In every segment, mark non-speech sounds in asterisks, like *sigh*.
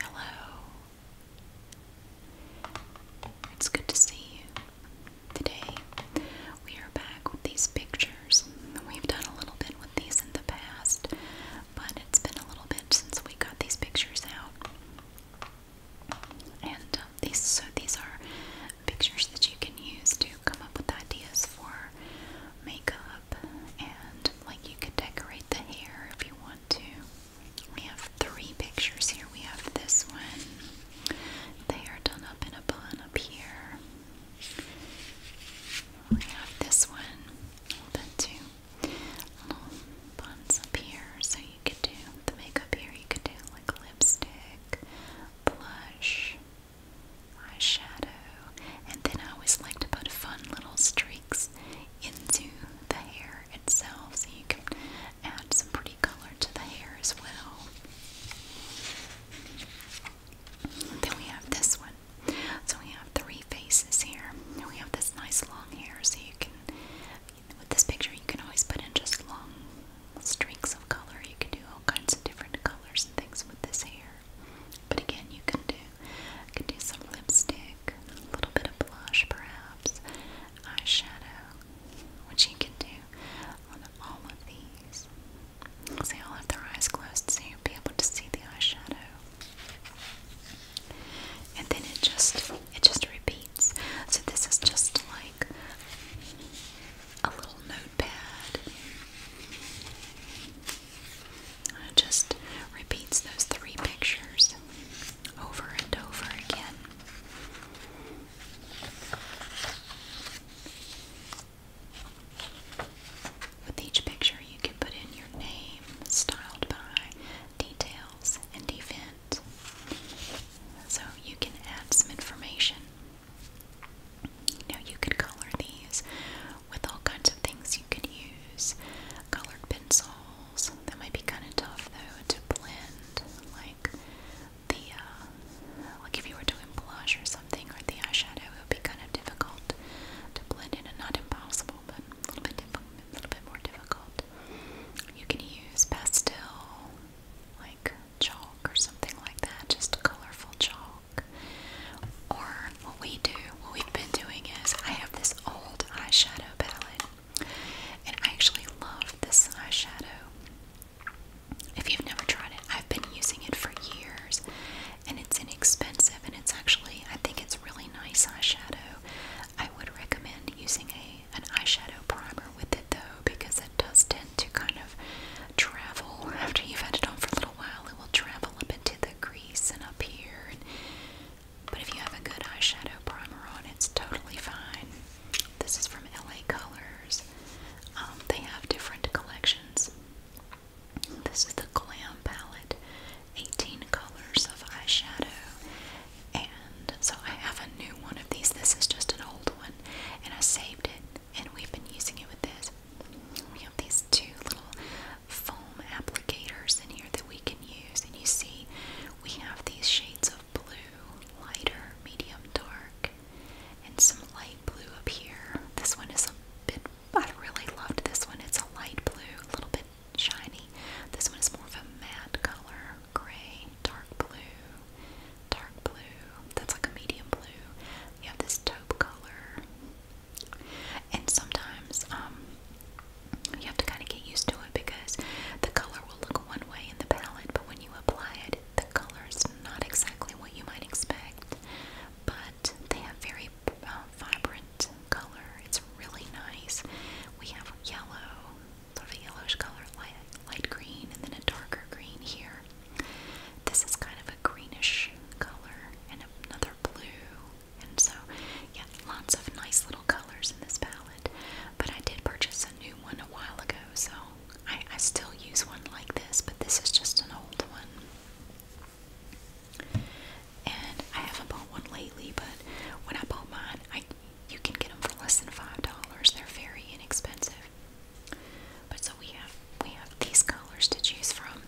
Hello. It's good to see you. Today we are back with these pictures. We've done a little bit with these in the past, but it's been a little bit since we got these pictures out. And um, these, so these are pictures that you can use to come up with ideas for makeup, and like you could decorate the hair if you want to. We have three pictures here. We have this one. They are done up in a bun up here. We have this one. The two little buns up here, so you could do the makeup here. You could do like lipstick, blush, eyeshadow, and then I always like to put fun little streaks into the hair itself so you can add some pretty color to the hair as well. then we have this one. So we have three faces here. And we have this nice long hair so you can with this picture you can always put in just long streaks of color. You can do all kinds of different colors and things with this hair. But again, you can do can do some lipstick, a little bit of blush perhaps, eyeshadow, which you can do on all of these. So they all have their eyes closed so you'll be able to see the eyeshadow. And then it just it just repeats. So this is just like a little notepad. it just repeats those three pictures over and over again. With each picture, you can put in your name, styled by, details, and even so you can add some information. Now you could color these with all kinds of things you could use. Colored pencils. That might be kind of tough though to blend. Like the, uh, like if you were doing blush or something or the eyeshadow, it would be kind of difficult to blend in and not impossible, but a little bit, a little bit more difficult. You can use pastel, like chalk or something like that, just colorful chalk. Or what we do, what we've been doing is I have this old eyeshadow palette, and I actually love this eyeshadow. If you've never tried it, I've been using it for years, and it's inexpensive, and it's actually I think it's really nice eyeshadow. I would recommend using a an eyeshadow primer with it though because it does tend to kind of travel after you've had it on for a little while. It will travel up into the grease and up here. but if you have a good eyeshadow primer on, it's totally fine. This is from LA Colors. Um, they have different collections. This is the Glam palette, 18 colors of eyeshadow, and so I have a new one of these. This is just an old one, and I saved it, and we've been using it with this. We have these two little foam applicators in here that we can use, and you see we have these shades of blue, lighter, medium, dark, and some light blue up here. This one is a bit, I really loved this one. It's a light blue, a little bit shiny. This one is more of a matte color, gray, dark blue, dark blue. That's like a medium blue. You have this taupe color. And sometimes um, you have to kind of get used to it because the color will look one way in the palette, but when you apply it, the color is not exactly what you might expect. But they have very uh, vibrant color. It's really nice. We have yellow, sort of a yellowish color, light, light green, and then a darker green here. This is kind of a greenish color and another blue, and so yeah, lots of nice little colors in this palette. But I did purchase a new one a while ago, so I, I still use one like this, but this is just an old one. And I haven't bought one lately, but when I bought mine, I you can get them for less than five dollars. They're very inexpensive. But so we have we have these colors to choose from,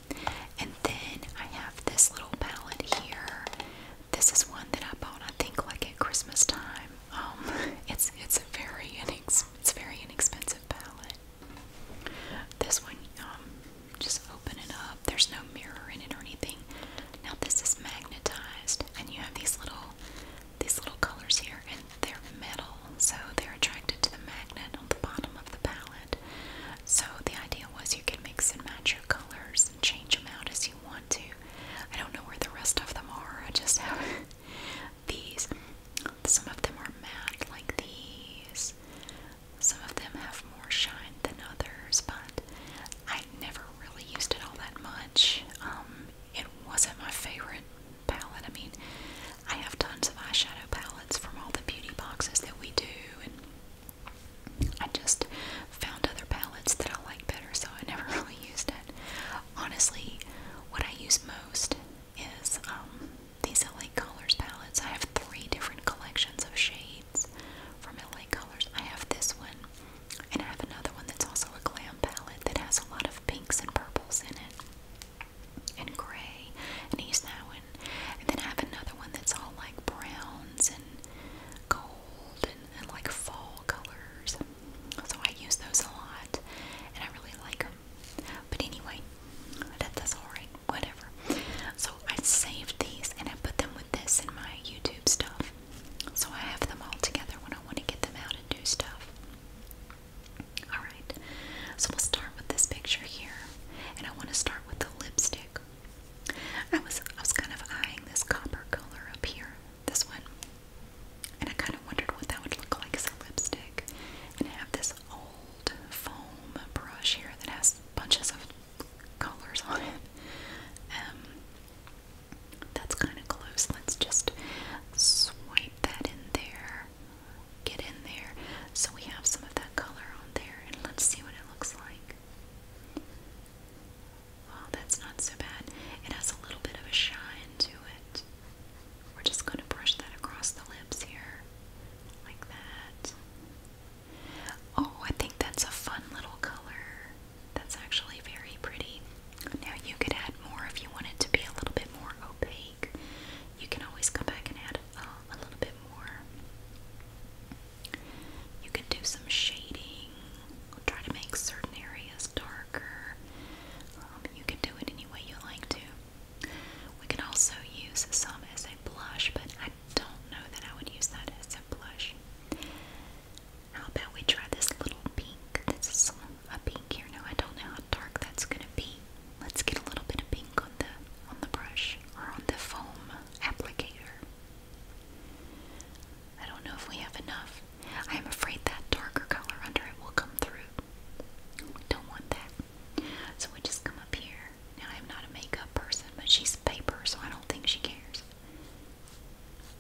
and then I have this little palette here. This is one that I bought, I think, like at Christmas time. Um, *laughs* it's it's a very inex it's very inexpensive palette. This one, um, just open it up. There's no mirror in it or anything. Now this is magnetized, and you have these little these little colors here, and they're metal, so they're attracted to the magnet on the bottom of the palette. So the idea was you could mix and match your colors and change them out as you want to. I don't know where the rest of them are. I just have *laughs* these. Some of them are matte, like these. Some of them have more shine than others, but I never really used it all that much much. Um, it wasn't my favorite palette. I mean, I have tons of eyeshadow palettes from all the beauty boxes that we do, and I just found other palettes that I like better, so I *laughs* never really used it. Honestly, what I use most is um, these LA Colors palettes. I have three different collections of shades from LA Colors. I have this one. And I have another one that's also a glam palette that has a lot of pinks and purples in it, and gray, and he's that one. And then I have another one that's all like browns and gold and, like fall colors. So I use those a lot, and I really like them. But anyway, that, that's alright, whatever. So I saved these and I put them with this in my YouTube stuff. So I have them all together when I want to get them out and do stuff. Alright, so we'll start with this picture here, and I want to start with the lipstick. I was I was kind of eyeing this copper color up here, this one, and I kind of wondered what that would look like as a lipstick. And I have this old foam brush here that has bunches of colors on it. Um, that's kind of close. Let's just swipe that in there. Get in there. So we have some of that color on there, and let's see what it looks like. Wow, that's not so bad. It has a little bit of a shine to it. We're just going to brush that across the lips here, like that. Oh, I think that's a fun little color. That's actually very pretty. Now you could add more if you want it to be a little bit more opaque. You can always come back and add uh, a little bit more. You could do some shading. I'll try to make certain areas darker. Um, you can do it any way you like to. We can also use some as a blush, but I don't know that I would use that as a blush. How about we try this little pink? This is a pink here. Now I don't know how dark that's gonna be. Let's get a little bit of pink on the on the brush or on the foam applicator. I don't know if we have enough. I am afraid that darker color under it will come through. We don't want that. So we just come up here. Now I'm not a makeup person, but she's a paper, so I don't think she cares.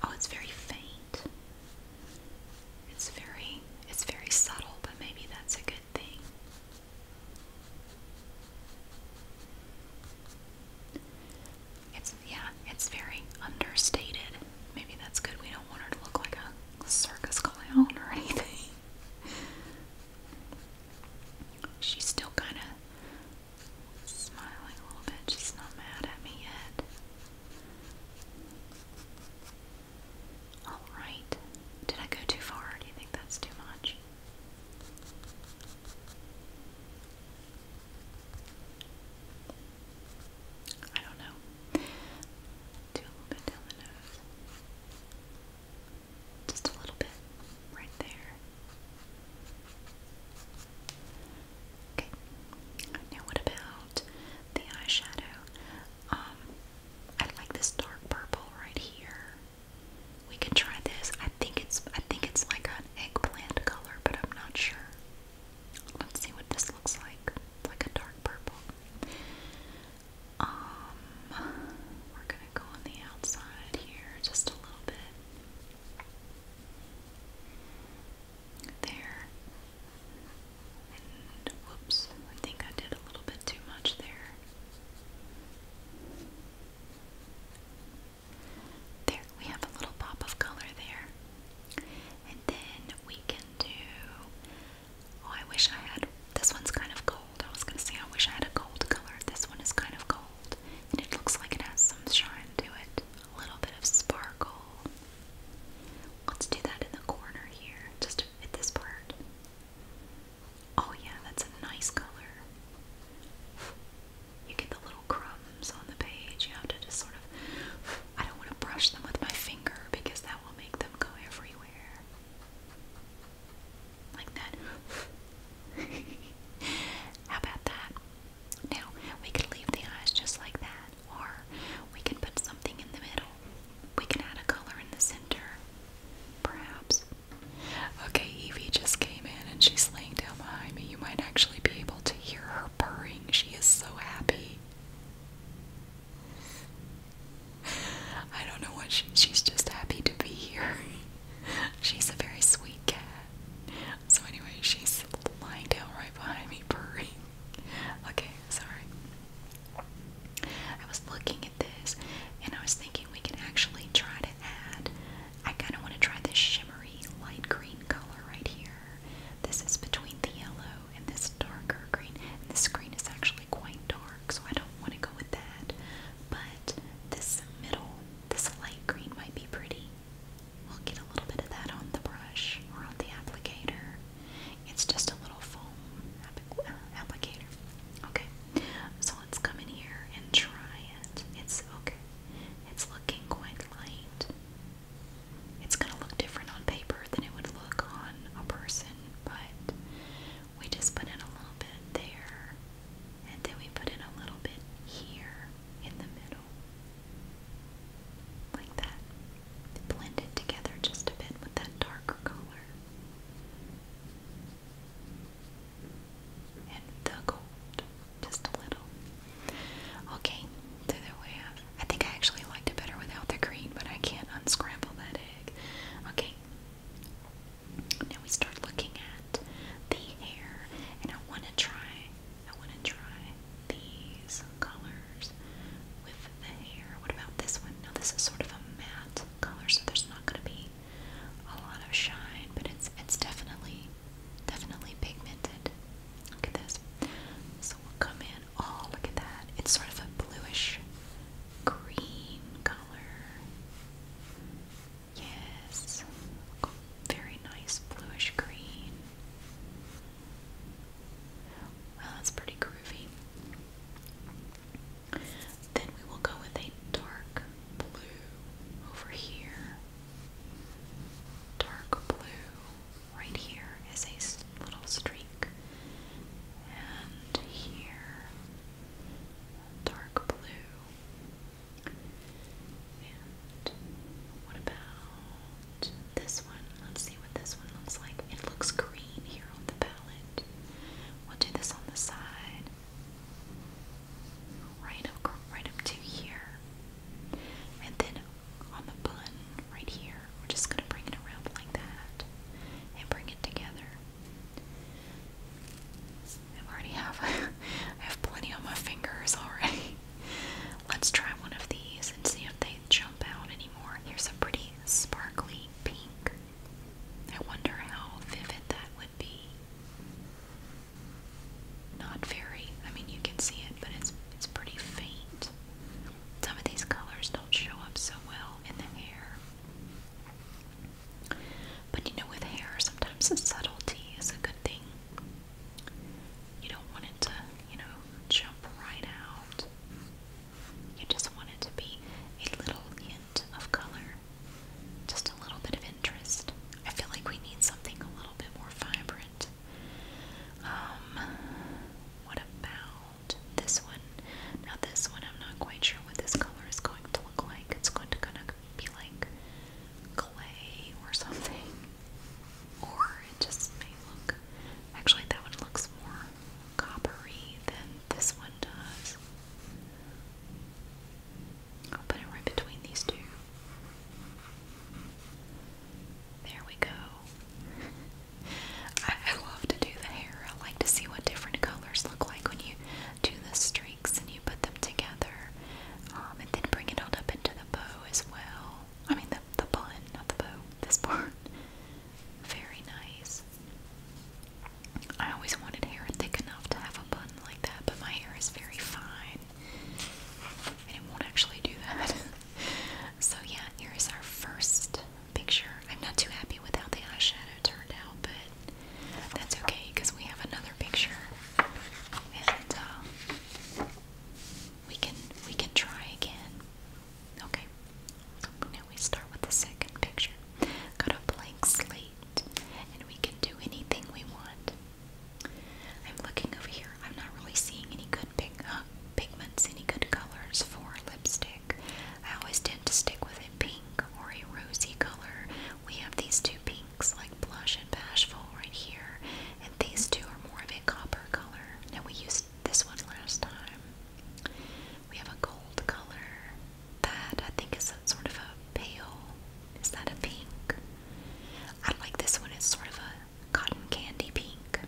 Oh, it's very faint. It's very it's very subtle, but maybe that's a good thing. It's yeah, it's very understated. Maybe that's good. We don't want her to look like a circus clown or *laughs* anything. She's still kind of Smiling a little bit, she's not mad at me yet. Alright. Did I go too far? Do you think that's too much? I don't know. Do a little bit down the nose. Just a little bit. Right there. Okay. Now what about the eyeshadow? Um, I like this dark purple right here. We can try this. I think it's I think it's like an eggplant color, but I'm not sure. Let's see what this looks like. It's like a dark purple. Um, we're gonna go on the outside here just a little bit there. whoops, I think I did a little bit too much there. There, we have a little pop of color there. And then we can do, oh I wish I had, this one's kind of gold. I was gonna say I wish I had a gold color. This one is kind of gold. And it looks like it has some shine to it a little bit of sparkle. Let's do that in the corner here, just at this part. Oh yeah, that's a nice color. You get the little crumbs on the page. You have to just sort of, I don't want to brush them with my finger because that will make them go everywhere. Like that. *laughs* How about that? Now, we can leave the eyes just like that, or we can put something in the middle. We can add a color in the center, perhaps. Okay, Evie just came in and she's laying down behind me. You might actually be able to hear her purring. She is so happy. I don't know what she, she's just happy to be here. *laughs* she's a very sweet cat. So anyway, she's lying down right behind me, purring. Okay, sorry. I was looking at this, and I was thinking we can actually try to add. I kind of want to try this shimmery light green color right here. This is between the yellow and this darker green. And this green is actually quite dark, so I don't want to go with that. But this middle, this light green might be pretty. We'll get a little bit of that on the brush or on the applicator. It's just a little foam uh, applicator. Okay, so let's come in here and try it. It's okay. It's looking quite light. It's gonna look different on paper than it would look on a person, but we just put in a little bit there, and then we put in a little bit here in the middle. Like that. Blended together just a bit with that darker color. And the gold. Just a little. Okay, so there we have. I think I actually liked it better without the green, but I can't unscramble that egg. Okay. Now we start looking the hair, and I want to try. I want to try these colors with the hair. What about this one? Now this is sort of a matte color, so there's not going to be a lot of shine, but it's it's definitely definitely pigmented. Look at this. So we'll come in. Oh, look at that. It's sort of a bluish green color. Yes. Very nice bluish green. Well, that's pretty groovy. Then we will go with a dark blue over here. Dark blue right here is a little streak. And here, dark blue. And what about this one? Let's see what this one looks like. It looks green here on the palette. We'll do this on the side. Right up right up to here. And then on the bun right here, we're just gonna bring it around like that and bring it together. I already have. *laughs* I have plenty on my fingers already. *laughs* Let's try one of these and see if they jump out anymore. Here's a pretty sparkly pink. I wonder how vivid that would be. Not very. I mean, you can see it, but it's it's pretty faint. Some of these colors don't show up so well in the hair. But you know, with hair, sometimes the subtlety is a good thing. You don't want it to, you know, jump right out. You just want it to be a little hint of color, just a little bit of interest. I feel like we need something a little bit more vibrant. Um, what about this one? Now, this one, I'm not quite sure what this color is going to look like. It's going to kind of be like clay or something. Or it just may look. Actually, that one looks more coppery than this one does. I'll put it right between these two. There we go. *laughs* I, love to do the hair. I like to see what different colors look like when you do the streaks and put them together, um, and then bring it all up into the bow as well. I mean, the, the bun, not the bow, this part. Very nice. I always wanted hair thick enough to have a bun like that, but my hair is very fine. And it won't actually do that. *laughs* so, yeah, here is our first picture. I'm not too happy with how the eyeshadow turned out, but that's okay because we have another picture, and uh, we can we can try again. Okay. Now we start with the second picture. Got a blank slate, and we can do anything we want. I'm looking over here. I'm not really seeing any good pig uh, pigments, any good colors for lipstick. I always tend to stick with a pink or a rosy color we have these two pinks, like Blush and Bashful, right here, and these two are more of a copper color. Now, we used this one last time. We have a gold color that I think is sort of a pale. Is that a pink? I like this one, it's sort of a cotton candy pink.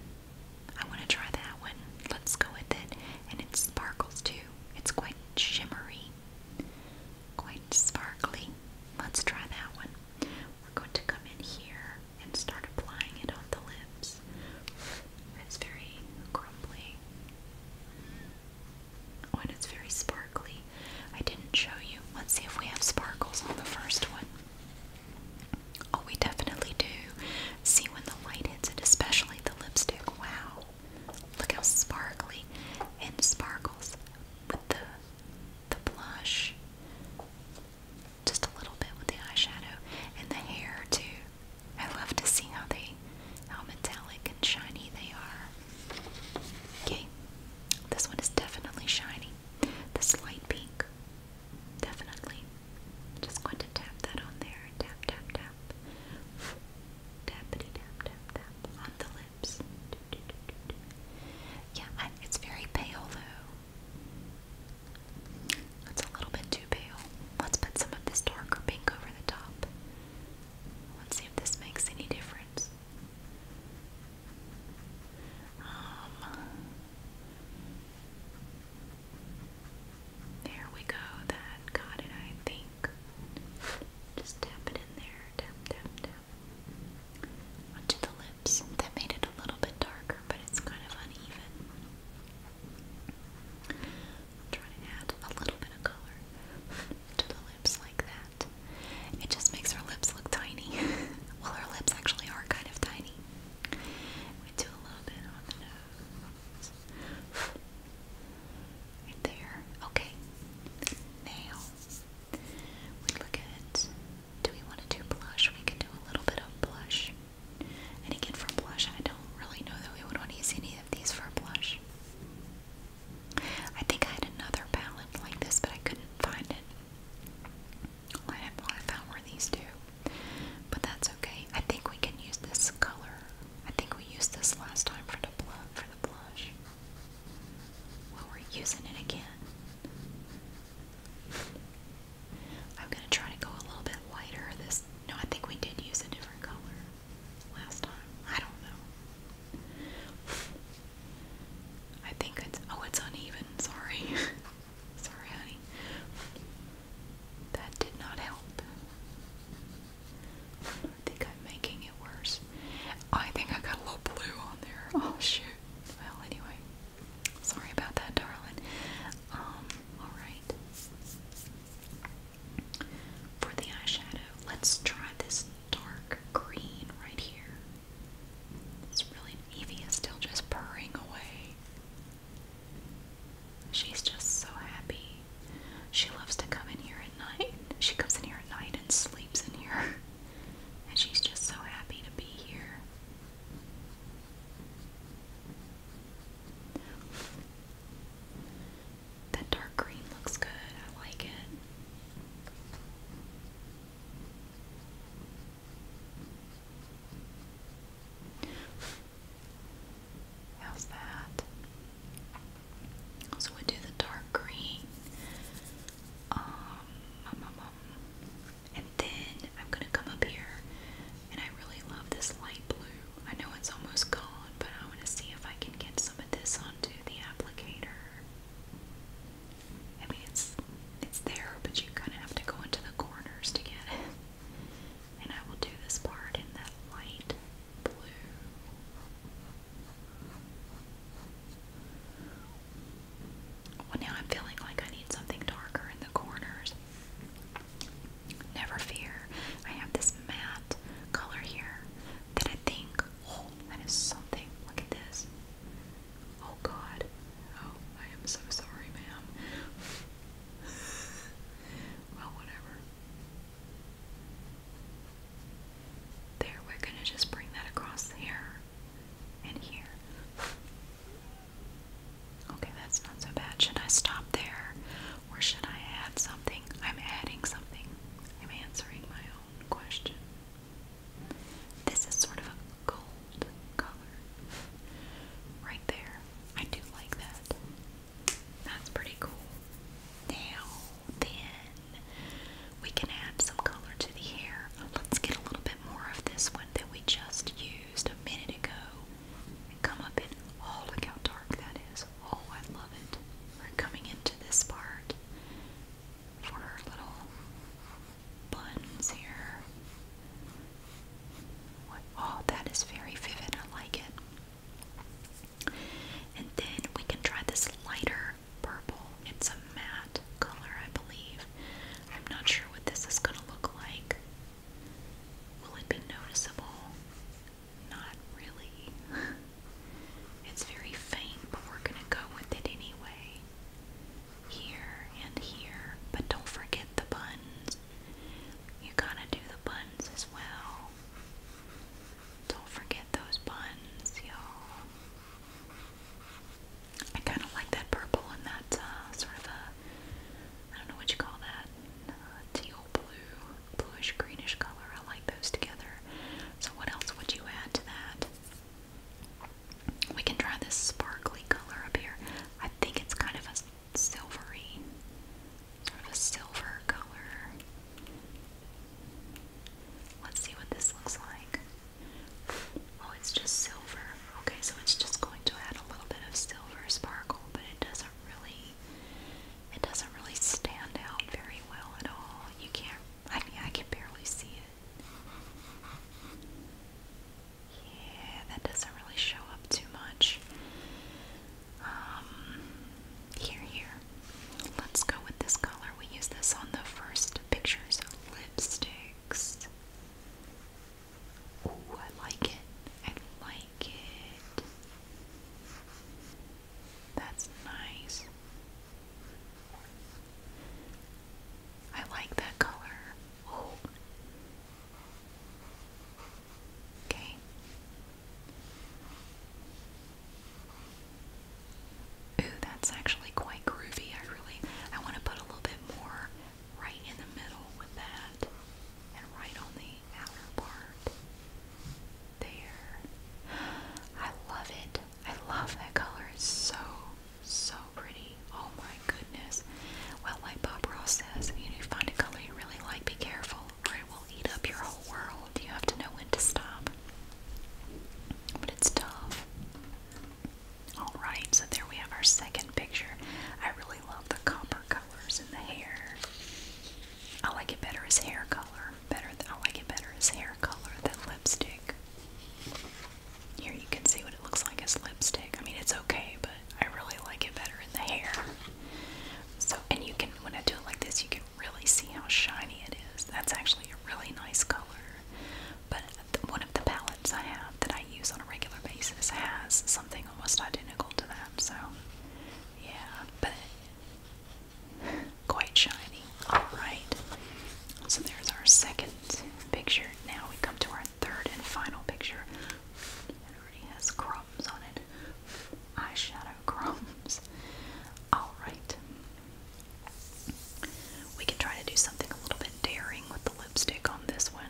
I want to try that one. Let's go with it. And it sparkles too. It's quite shimmery. Quite Sparkly. Let's try that one. We're going to come in here and start applying it on the lips. It's very crumbly. When oh, it's very sparkly. I didn't show you. Let's see if we have sparkles on the first one. Oh, we definitely do. See when the light hits it, especially the lipstick. Wow. Look how sparkly and sparkles with the the blush, just a little bit with the eyeshadow, and the hair too. I love to see how they, how metallic and shiny they are. Okay, this one is definitely shiny. This light pink, definitely. Just going to tap that on there. Tap, tap, tap. Tappity tap, tap, tap on the lid. Yeah, it's very pale though. It's a little bit too pale. Let's put some of this darker pink over the top. Let's see if this makes any difference. Um, there we go. That got it, I think. Just tap it in there. Tap, tap, tap onto the lips. That made it a little bit darker, but it's kind of uneven. I'm trying to add a little bit of color to the lips like that. It just makes our lips look tiny. *laughs* well, her lips actually are kind of tiny. We a little bit on the nose. Right there. Okay. Now we look at, do we want to do blush? We can do a little bit of blush. And again, for blush, I don't really know that we would want to use any of these for blush. I think I had another palette like this, but I couldn't find it. I, had, all found were these two. But that's okay. I think we can use this color. I think we used this last time for the blue, blush. Well, we're using it again. I'm gonna try to go a little bit lighter. This no, I think we did use a different color last time. I don't know. I think it's oh, it's uneven. Sorry, *laughs* sorry, honey. That did not help. I think I'm making it worse. I think I got a little blue on there. Oh shoot. Well, anyway, sorry about that, darling. Um, alright. For the eyeshadow, let's try this dark green right here. It's really, Evie is still just purring away. She's just so happy. She loves to come in here at night. She comes in here at night and sleeps sleeps in here. *laughs* And she's just so happy to be here. That dark green looks good. I like it. How's that? So we do the dark green. Um, um, um, and then I'm gonna come up here, and I really love this light blue. I know it's almost gone, but I want to see if I can get some of this onto the applicator. I mean, it's it's there, but you kind of have to go into the corners to get it. And I will do this part in that light well, now I'm feeling like I need something darker in the corners. Never fear, I have this matte color here that I think, oh, that is something. Look at this. Oh God. Oh, I am so sorry, ma'am. *laughs* well, whatever. There, we're gonna just bring that across here and here. Okay, that's not so bad. Should I stop there or should I add something? I'm adding something. I'm answering my own question. This is sort of a gold color. Right there. I do like that. That's pretty cool. Now, then we can add some color to the hair. Let's get a little bit more of this one that we just used a minute ago come up in. Oh, look how dark that is. Oh, I love it. We're coming into this part for her little buns here. Oh, that is very vivid. I like it. And then we can try this lighter purple. It's a matte color, I believe. I'm not sure what this is going to look like. Will it be noticeable? Not really. *laughs* it's very faint, but we're going to go with it anyway. Here and here, but don't forget the buns. You gotta do the buns as well. Don't forget those buns, y'all. I kind of like that purple and that uh, sort of a, I don't know what you call that, uh, teal blue, bluish greenish color. I like those together. So what else would you add to that? We can try this sparkly color up here. I think it's kind of a silvery, sort of a silver color. Let's see what this looks like. Oh, it's just silver. Okay, so it's just going to add a little bit of silver sparkle, but it doesn't really it doesn't really stand out very well at all. You can't I mean I can barely see it. Yeah, that doesn't really show up too much. Um, here, here. Let's go with this color. We use this on the first pictures of lipsticks. Ooh, I like it. I like it. That's nice. I like that color. Oh. Okay. Ooh, that's actually quite groovy. I really, I want to put a little bit more right in the middle with that and right on the outer part. There. I love it. I love that color. It's so, so pretty. Oh my goodness. Well, like Bob Ross says, if you do find a color you really like, be careful or it will eat up your whole world you have to know when to stop. But it's tough. Alright, so there we have our second picture. I really love the copper colors in the hair. I like it better as hair color. Better, I like it better as hair color than lipstick. Here you can see what it looks like as lipstick. I mean, it's okay, but I really like it better in the hair. So, and you can, when I do it like this, you can can really see how shiny it is. That's actually a really nice color. But one of the palettes I have that I use on a regular basis has something almost identical to that. So, yeah, but *laughs* quite shiny. Alright, so there's our second picture. Now we come to our third and final picture. It already has crumbs on it eyeshadow *laughs* crumbs. Alright. We can try to do something a little bit daring with the lipstick on this one.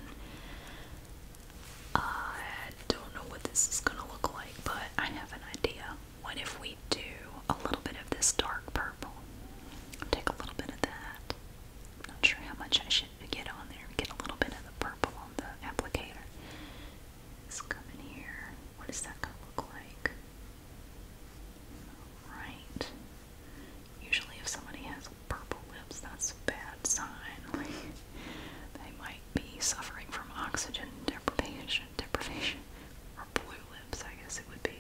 I don't know what this is going to look like, but I have an idea. What if we do a little bit of this dark purple? Take a little bit of that. I'm not sure how much I should get on there. Get a little bit of the purple on the applicator. let come in here what is that going to look like? Right. Usually, if somebody has purple lips, that's a bad sign. Like, *laughs* they might be suffering from oxygen deprivation, deprivation, or blue lips. I guess it would be.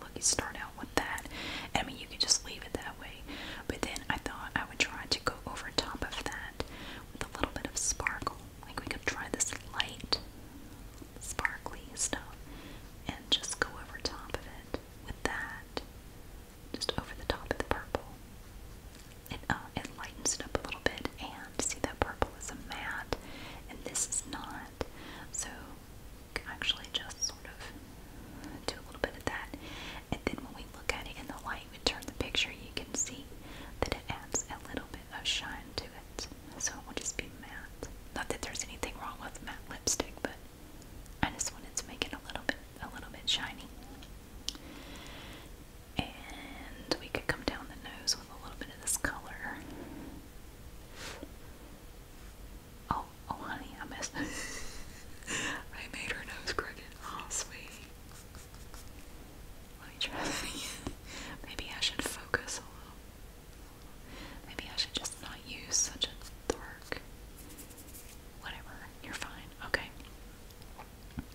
Look, you start out with that. I mean, you could just leave it that way. But then I thought I would try to go over top of that with a little bit of sparkle. Like we could try this light, sparkly stuff and just go over top of it with that. Just over the top of the purple. It, uh, it lightens it up a little bit and see that purple is a matte and this is not. So we can actually just sort of do a little bit of that. And then when we look at it in the light, I even turn the picture, you can see that it adds a little bit of shine to it. So it will just be matte. Not that there's anything wrong with matte lipstick, but I just wanted to make it a little bit, a little bit shiny. And we could come down the nose with a little bit of this color. Oh, oh honey, I missed *laughs* I made her nose crooked. Oh, sweet. Let me try *laughs* Maybe I should focus a little. Maybe I should just not use such a dark. Whatever, you're fine. Okay.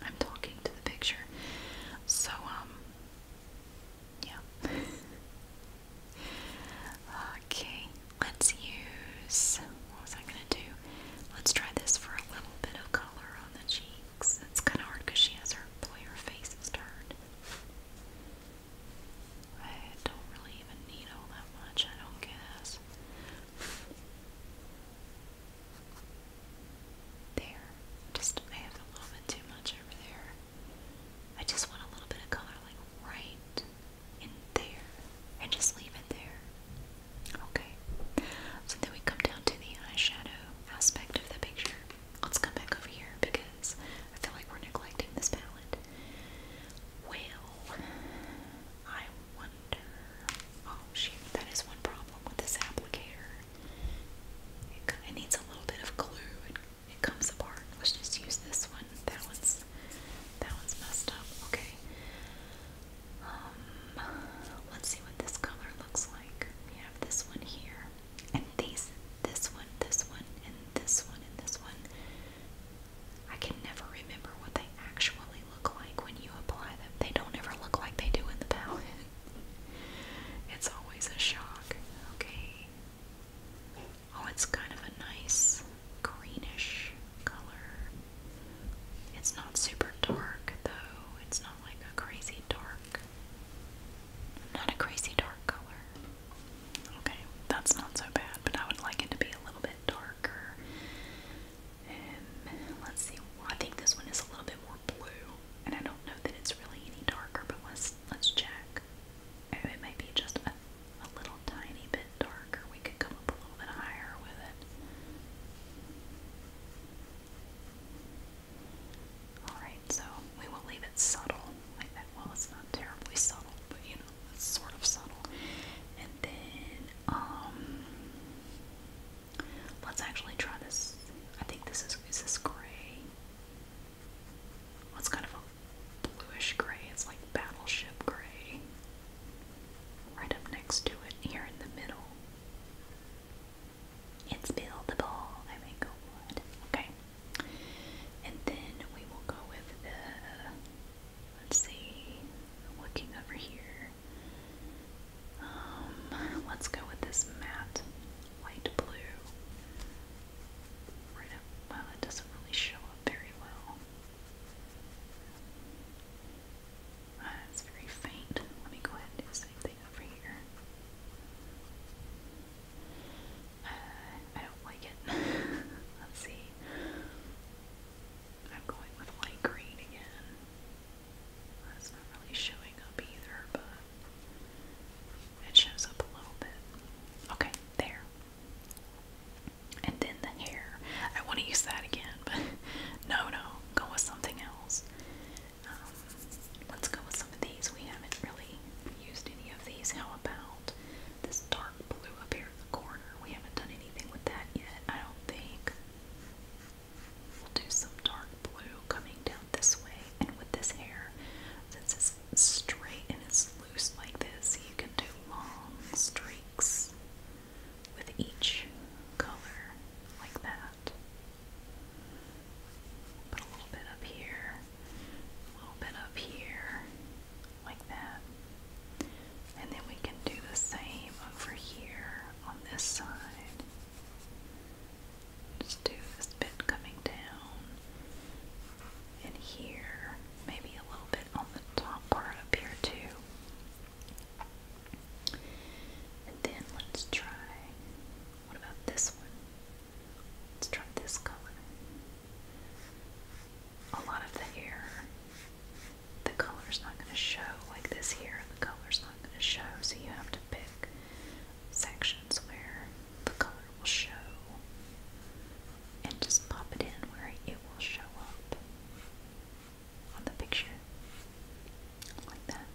I'm talking to the picture. So, um, yeah. *laughs* okay, let's use. What was I gonna do? Let's try this for a little bit of color on the cheek cheeks. It's kind of hard because she has her, boy. her face is turned. I don't really even need all that much, I don't guess. There. Just, I have a little bit too much over there. I just want a little bit of color, like, right in there. And just leave it there. Okay, so then we come down to the eyeshadow aspect of the picture. Let's come back over here because I feel like we're neglecting this palette. Well, I wonder. Oh shoot, that is one problem with this applicator. It, it needs a little bit of glue. It, it comes apart. Let's just use this one. That one's that one's messed up. Okay. Um, let's see what this color looks like. We have this one here, and these, this one, this one, and this one, and this one. I can never remember what they actually look like when you apply them. They don't ever look like they do in the palette. *laughs* it's always a shock. Okay. Oh, it's kind of a nice greenish color. It's not super dark though. It's not like a crazy dark. Not a crazy dark color. Okay, that's not so bad, but I would like it to be a little bit darker. Um, let's see. I think this one is a little bit more blue, and I don't know that it's really any darker, but let's let's check. Oh, it may be just a, a little tiny bit darker. We could come up a little bit higher with it. Alright, so we will leave it subtle like that. Well, it's not terribly subtle, but you know, it's sort of subtle. And then, um, let's actually try this. I think this is, this gray? it's kind of a bluish gray. It's like battleship gray. Right up next to it, here in the middle. It's buildable. I may go wood. Okay. And then we will go with the, let's see, looking over here. Um, let's go with this matte light blue. Right up, well, it doesn't really show up very well it's very faint. Let me go ahead and do the over here. Uh, I don't like it. *laughs* Let's see. I'm going with light green again. That's not really showing up either, but it shows up a little bit. Okay, there. And then the hair. I want to use that again, but *laughs* no, no, go with something else. Um, let's go with some of these. We haven't really used any of these. How about this dark blue up here in the corner? We haven't done anything with that yet, I don't think. We'll do some dark blue coming down this way, and with this hair, since it's straight and it's loose like this, you can do long streaks with each color like that. Put a little bit up here, a little bit up here, like that. And then we can do the same over here on this side. Just do this bit coming down and here, maybe a little bit on the top part up here too. And then let's try, what about this one? Let's try this color. A lot of the hair, the color's not going to show, like this here, the color's not going to show, so you have to pick sections where the color will show and just pop it in where it will show up on the picture, like that.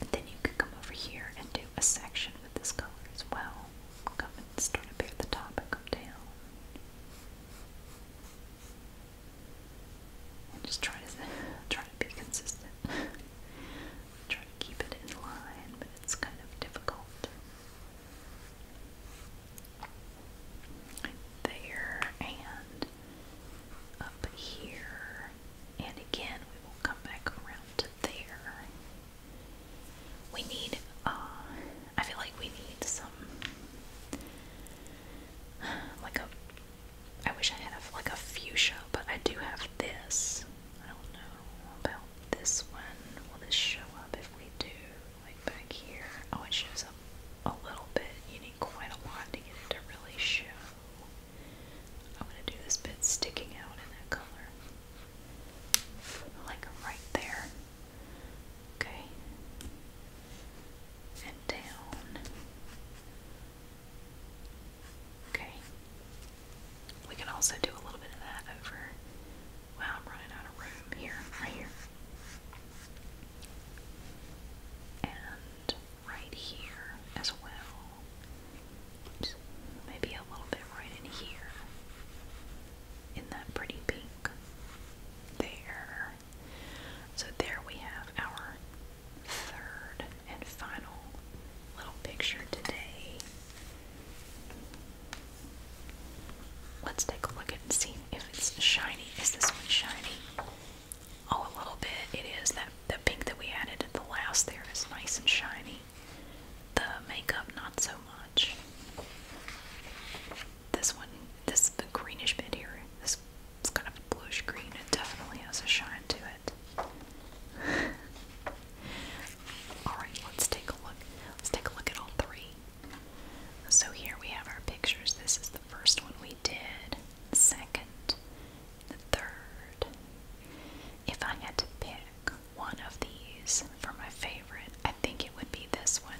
And then you can come over here and do a section with this color as well. Come and start at the top and come down. just try to *laughs* try to be consistent. *laughs* try to keep it in line, but it's kind of difficult. there and up here, and again we will come back around to there. We need, uh, I feel like we need some, like a, I wish I had a, like a fuchsia, but I do have this. I don't know about this one. Will this show up if we do, like back here? Oh, it shows a little bit, quite a lot to get it to really show. I'm going to do this bit sticking out in that color. Like right there. Okay. And down. Okay. We can also do a little bit of that over. Wow, I'm running out of room here, right here. And right here as well. maybe a little bit right in here. In that pretty pink. There. So there we have our third and final little picture today. Let's take a look and see if it's shiny. Is this one shiny? Oh, a little bit. It is that the pink that we added at the last there is nice and shiny. The makeup, not so much. This one, this the greenish bit here. This it's kind of bluish green. It definitely has a shine to it. *laughs* all right, let's take a look. Let's take a look at all three. So here we have our pictures. This is the first one we did second, the third. If I had to pick one of these for my favorite, I think it would be this one.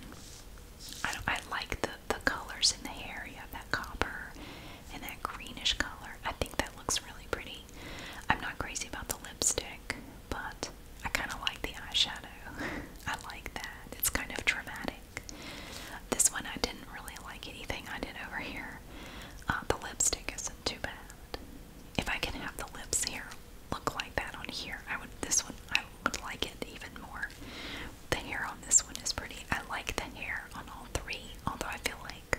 I, I like the, the colors in the hair. You have that copper and that greenish color. I think that looks really pretty. I'm not crazy about the lipstick, but I kind of like the eyeshadow. *laughs* I like that. It's kind of dramatic. This one I didn't really like anything I did over here. Uh, the lipstick isn't too bad. If I can have the lips here look like that on here, I would. This one I would like it even more. The hair on this one is pretty. I like the hair on all three, although I feel like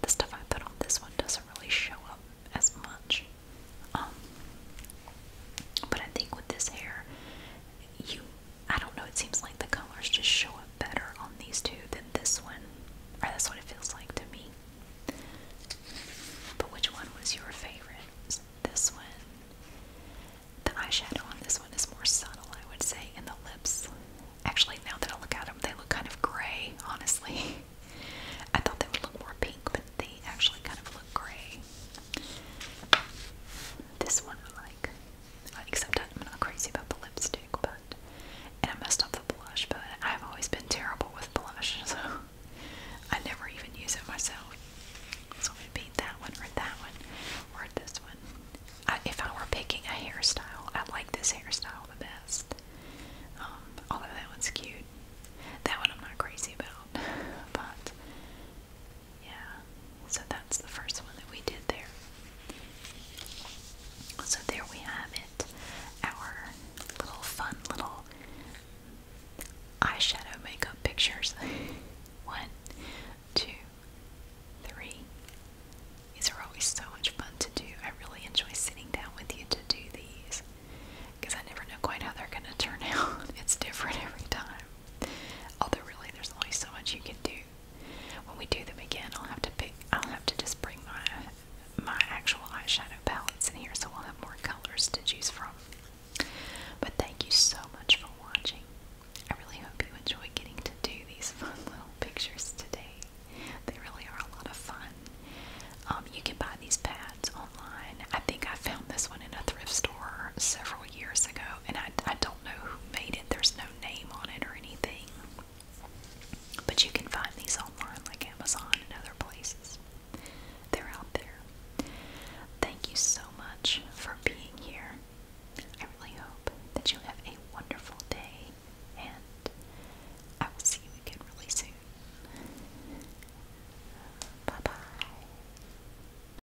the stuff I put on this one doesn't really show up as much. Um, but I think with this hair, you I don't know, it seems like the colors just show up better on these two than this one. Or that's what it feels like to me. But which one was your favorite? this one. The eyeshadow on this one is more subtle, I would say, and the lips. Actually, now that I look at them, they look kind of gray, honestly. *laughs* I thought they would look more pink, but they actually kind of look gray. This one I like. Except I'm not crazy about the lipstick, but and I messed up the blush, but I've always been terrible with blush, *laughs* so I never even use it myself. So I'm gonna beat that one or that one or this one. if I were picking a hairstyle, I like this hairstyle the best. Um, although that one's cute. That one I'm not crazy about, *laughs* but yeah, so that's the first one that we did there. So there we have it. Our little fun little eyeshadow makeup pictures. *laughs* one, two, three. These are always so much fun to do. I really enjoy sitting down with you to do these because I never know quite how they're going to turn *laughs* out. It's different every time. Although really, there's only so much you can do. When we do them again, I'll have to pick. I'll have to just bring my my actual eyeshadow palettes in here, so we'll have more colors to choose from. But thank you so much for watching. I really hope you enjoyed getting to do these *laughs* fun little pictures today. They really are a lot of fun. Um, you can buy these pads online. I think I found this one in a thrift store several years ago, and I don't know who made it. There's no name on it or anything. But you can find these online, like Amazon and other places. They're out there. Thank you so much for being here. I really hope that you have a wonderful day, and I will see you again really soon. Bye bye.